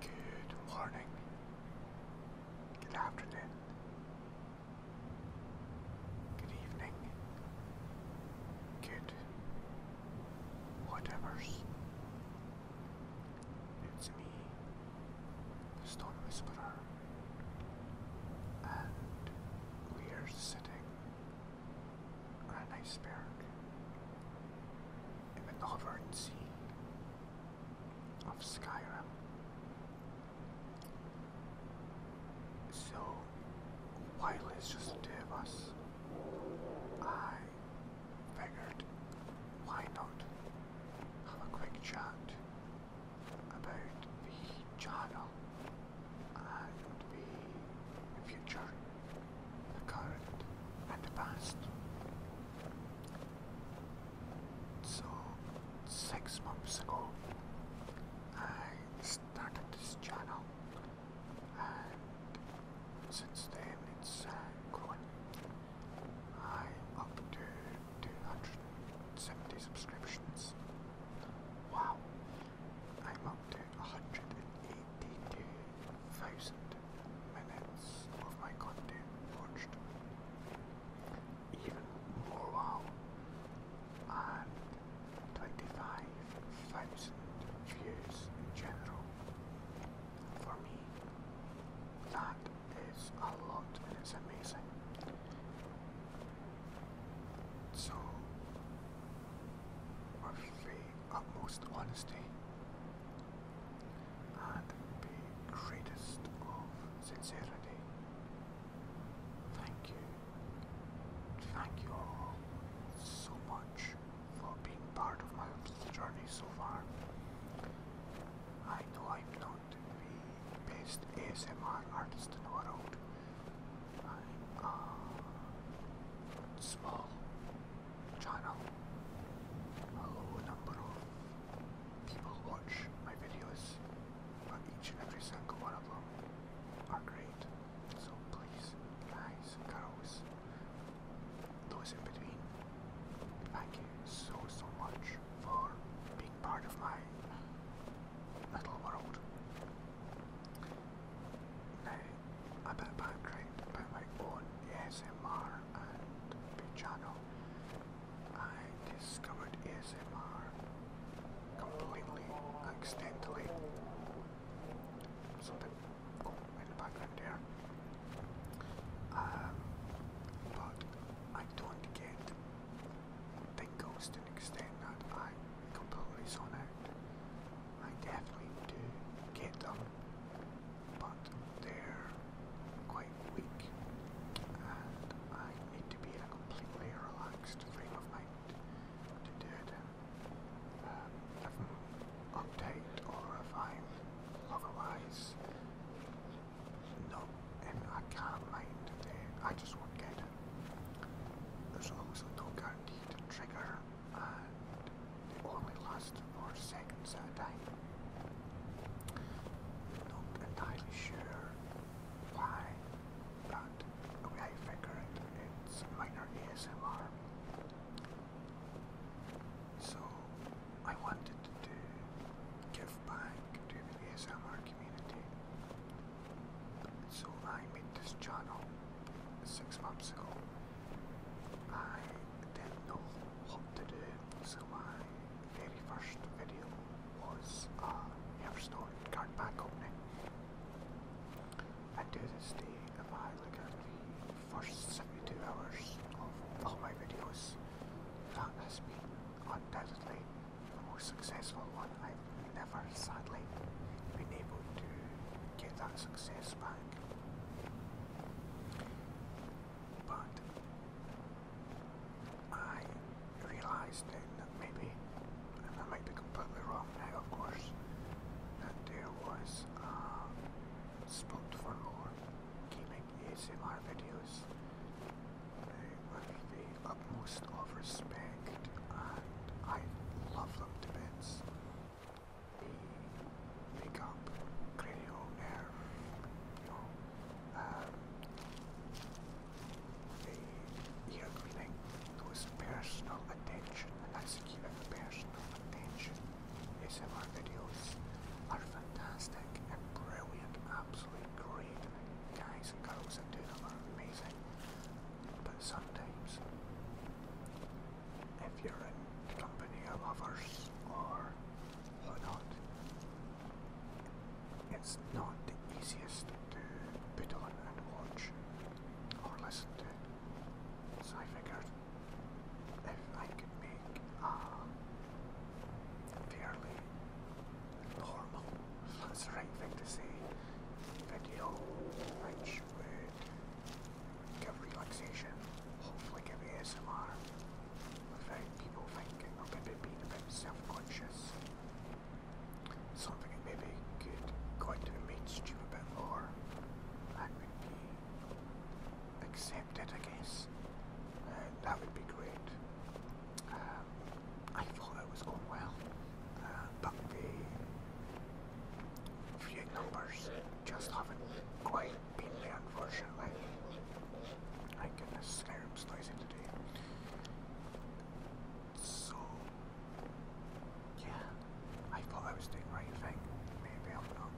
Good morning. Good afternoon. Good evening. Good. Whatever's. It's me, the Stone Whisperer. And we're sitting on an iceberg in the northern sea of Skyrim. So while it's just us, I figured why not have a quick chat about the channel and the future the current and the past. So, six months ago, I started this channel, and since then it's uh, grown. I'm up to 270 subscriptions. Wow, I'm up to 180 82,000 minutes of my content watched. Even more wow. And 25,000 views in general. For me, that is a lot and it's amazing. So, my favorite utmost honesty and the greatest of sincerity. Thank you. Thank you all so much for being part of my journey so far. I know I'm not the best ASMR artist in the world. I'm small channel. A low number of people watch my videos, but each and every single one of them are great. So please, guys, girls, those in between, thank you so so much for being part of my little world. Now, a bit of background about my own ASMR and channel. I discovered ASMR completely accidentally. Something oh, in the there. Um, but I don't get tingles to an extent that I completely zone out. I definitely do get them but they're quite weak, and I need to be a completely relaxed frame of mind to do them. Um, if I'm uptight or I'm not mind, then I just won't get it. There's also no guarantee to trigger I uh, only lasted four seconds at a time. Not entirely sure why, but I figured it's minor ASMR. So I wanted to give back to the ASMR community. So I made this channel six months ago. I didn't know what to do, so my very first video was a Hearthstone card pack opening. And to this day, if I look at the first 72 hours of all my videos, that has been undoubtedly the most successful one. I've never, sadly, been able to get that success but I realized then that maybe, and I might be completely wrong now, of course, that there was a spot for more gaming ASMR videos uh, with the utmost of respect, and I love them to bits the makeup, cranial nerve, um, the ear cleaning, personal attention, and that's personal attention. ASMR videos are fantastic and brilliant, absolutely great. Guys girls that do amazing but sometimes if you're in the company of lovers or whatnot, it's not the easiest to be on and watch or listen to. So I figured if I could make a fairly normal, that's the right thing to say, video which would Give relaxation, hopefully give ASMR without people thinking or maybe being a bit self-conscious. Something maybe could go into the you a bit more and would accepted, I guess. Uh, that would be great. Um, I thought it was going well, uh, but Few numbers just haven't quite been there, unfortunately. My goodness, Skyrim's noisy today. So, yeah, I thought I was doing the right thing. Maybe I'm not.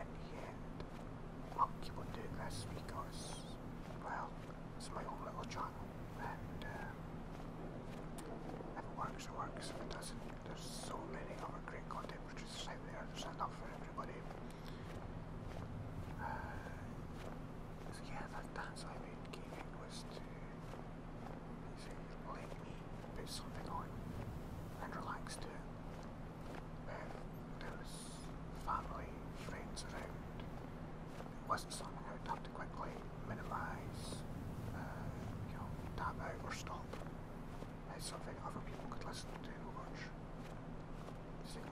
In the end, I'll keep on doing this because, well, it's my own little channel and uh, if it works, it works. If it doesn't, there's so many other great content which is there. There's enough for everybody. Uh, so yeah, that dance I made gaming was to let me put something on and relax to it. family, friends around, wasn't something I would have to quickly minimise, uh, you know, tap out or stop. It's something other people could listen to watch.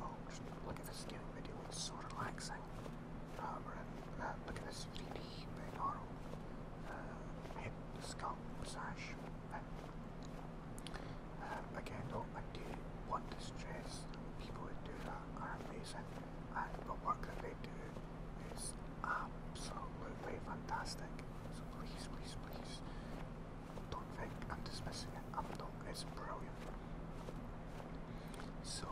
Oh, just think, look at this gaming video, it's so relaxing. Um, uh, look at this 3 big arrow, head, uh, skull, sash uh, again, though, I want to stress people who are amazing, and but what can they do is absolutely fantastic. So please, please, please don't think I'm dismissing it. I'm not. It's brilliant. So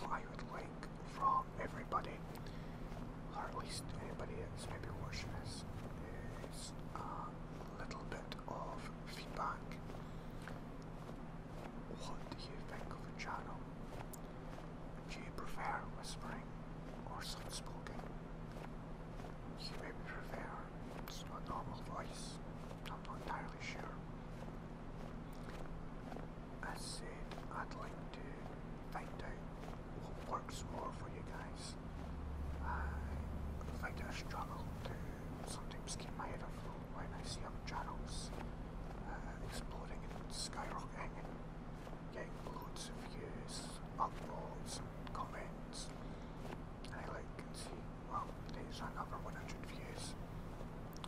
what I would like from everybody, or at least anybody that's maybe watching this, is a little bit of feedback. What do you think of the channel? Do you prefer whispering or soft spoken? You may prefer it's a normal voice, I'm not entirely sure. I said I'd like to find out what works more for you guys. I find I struggle to sometimes keep my head afloat why I see young channels uh, exploding and skyrocketing and getting loads of views, uploads and comments. And I like can see, well, there's another 100 views.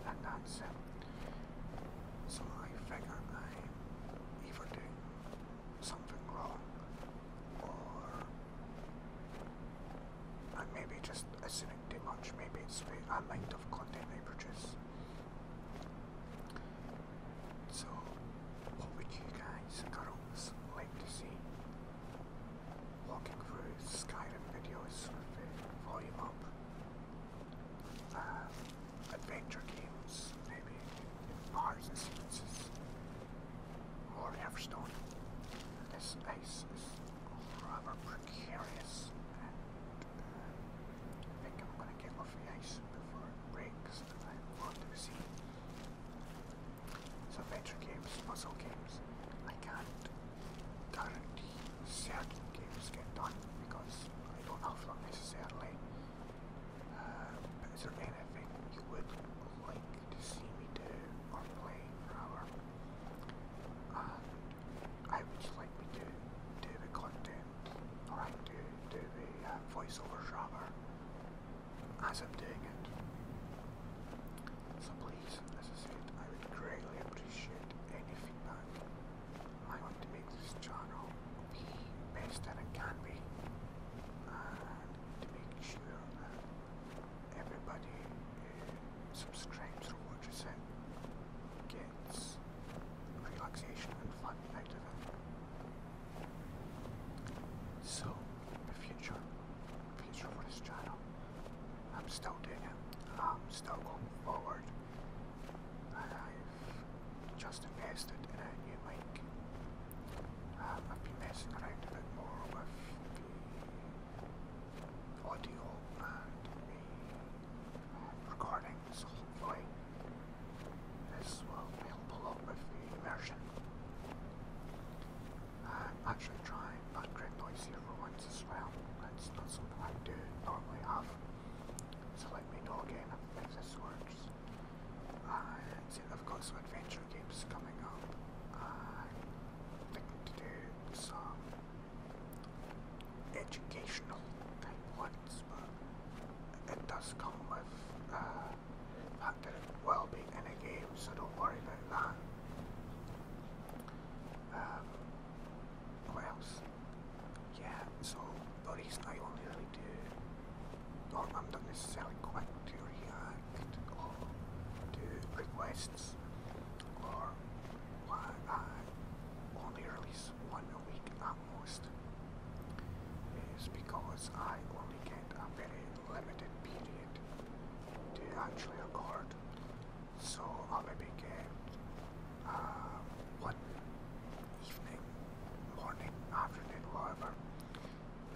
And that's it. Um, so I figure I'm either doing something wrong or I'm maybe just assuming too much. Maybe it's the amount uh, of content they produce. So, what would you guys, girls, like to see? Walking through Skyrim videos with volume up. Um, adventure games, maybe bars and spaces. Or Everstone. This ice rather precarious. I think I'm going to get off the ice before it breaks, and I want to see so adventure games, puzzle games. I can't guarantee games get done because I don't have them necessarily. but uh, is there anything you would like to see me do or play rather. And I would just like me to do the content or I do do the uh, voiceover rather as I'm doing it. So please, as I said, I would greatly appreciate any feedback. I want to make this channel the best that it can be to make sure that everybody uh, subscribes watches it gets relaxation and fun out of it. So, the future, future for this channel, I'm still doing I'm still going forward, and I've just invested in a new mic. Uh, I've been messing around a bit more with audio recording this whole flight. This will be below with the immersion. I'm actually trying not great noisy ruins as well. That's not something I do normally have. So let me know again if this works. And uh, I've got some adventure games coming up, uh, i to do some educational type ones, but it does come with uh, the fact that it will be in a game, so don't worry about that. Um, what else? Yeah, so the I only do, or I'm not necessarily quick liked requests or why I only release one a week at most is because I only get a very limited period to actually record. So I'll be get one evening, morning, afternoon, however,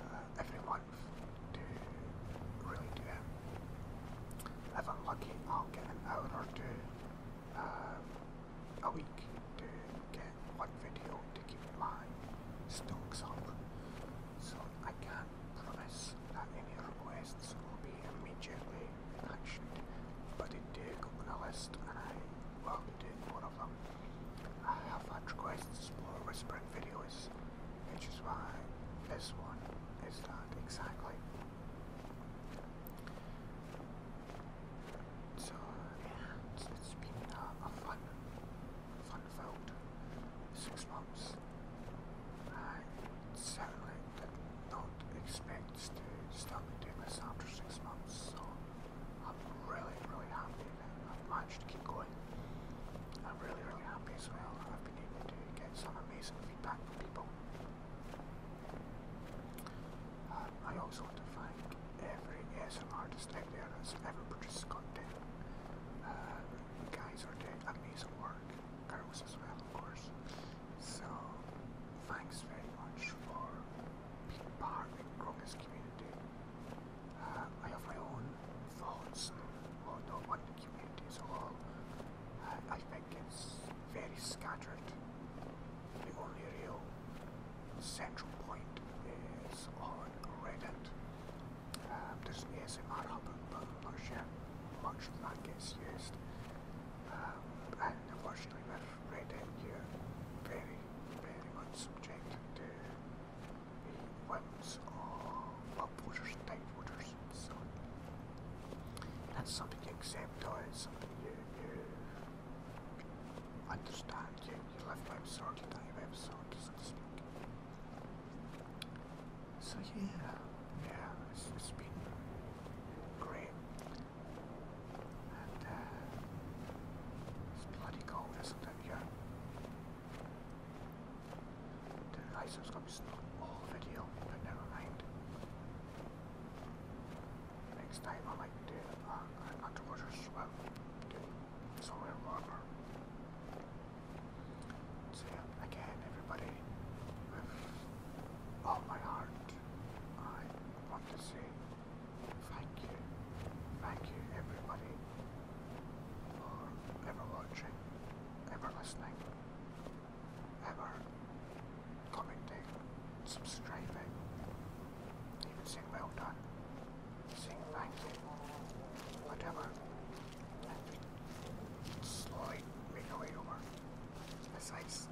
uh, every Monday to really do it. If I'm lucky, I'll get an hour or two uh, a week to get one video to keep my stocks up. So I can't promise that any requests will be immediately answered, but they do go on a list and I will be doing more of them. I have had requests for whispering videos which is why this one is not exactly. So yeah, it's been a fun, fun vote. six months. I certainly did not expect to start doing this after six months, so I'm really, really happy not much to keep going. I'm really, really happy as well. I've been able to get some amazing feedback from people. Um, I also want to thank every ASMR artist out there that's ever produced content. Uh, guys are doing amazing work, girls as well, of course. So, thanks very much for being part of growing this community. I have my own thoughts on the one community as I think it's very scattered. The only real central point is on Reddit. Um, this is an ASMR hub, but I'm much of that gets used. Um, and unfortunately with Reddit you're very, very much subject to ones are upvoters and downvoters. So that's something you accept or it's something you, you understand. You, you live by absurd, you die by absurd, so to speak. So yeah, yeah, it's, it's been great. And uh, it's bloody cold, isn't it? video. The license copy is not all video, but never mind. Next time uh, I might do uh, an underwater swim to somewhere warmer. So yeah, again everybody, with all oh, my heart, I want to say Thank you. Thank you everybody for ever watching, ever listening, ever commenting, subscribing, even saying well done, saying thank you, whatever. And slowly make our way over. It's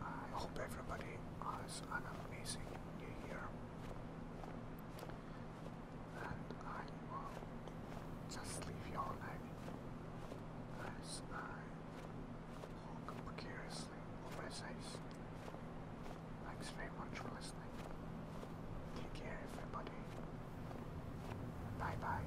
I hope everybody has an amazing new year. And I will just leave you all as I walk precariously over his ice. Thanks very much for listening. Take care, everybody. Bye bye.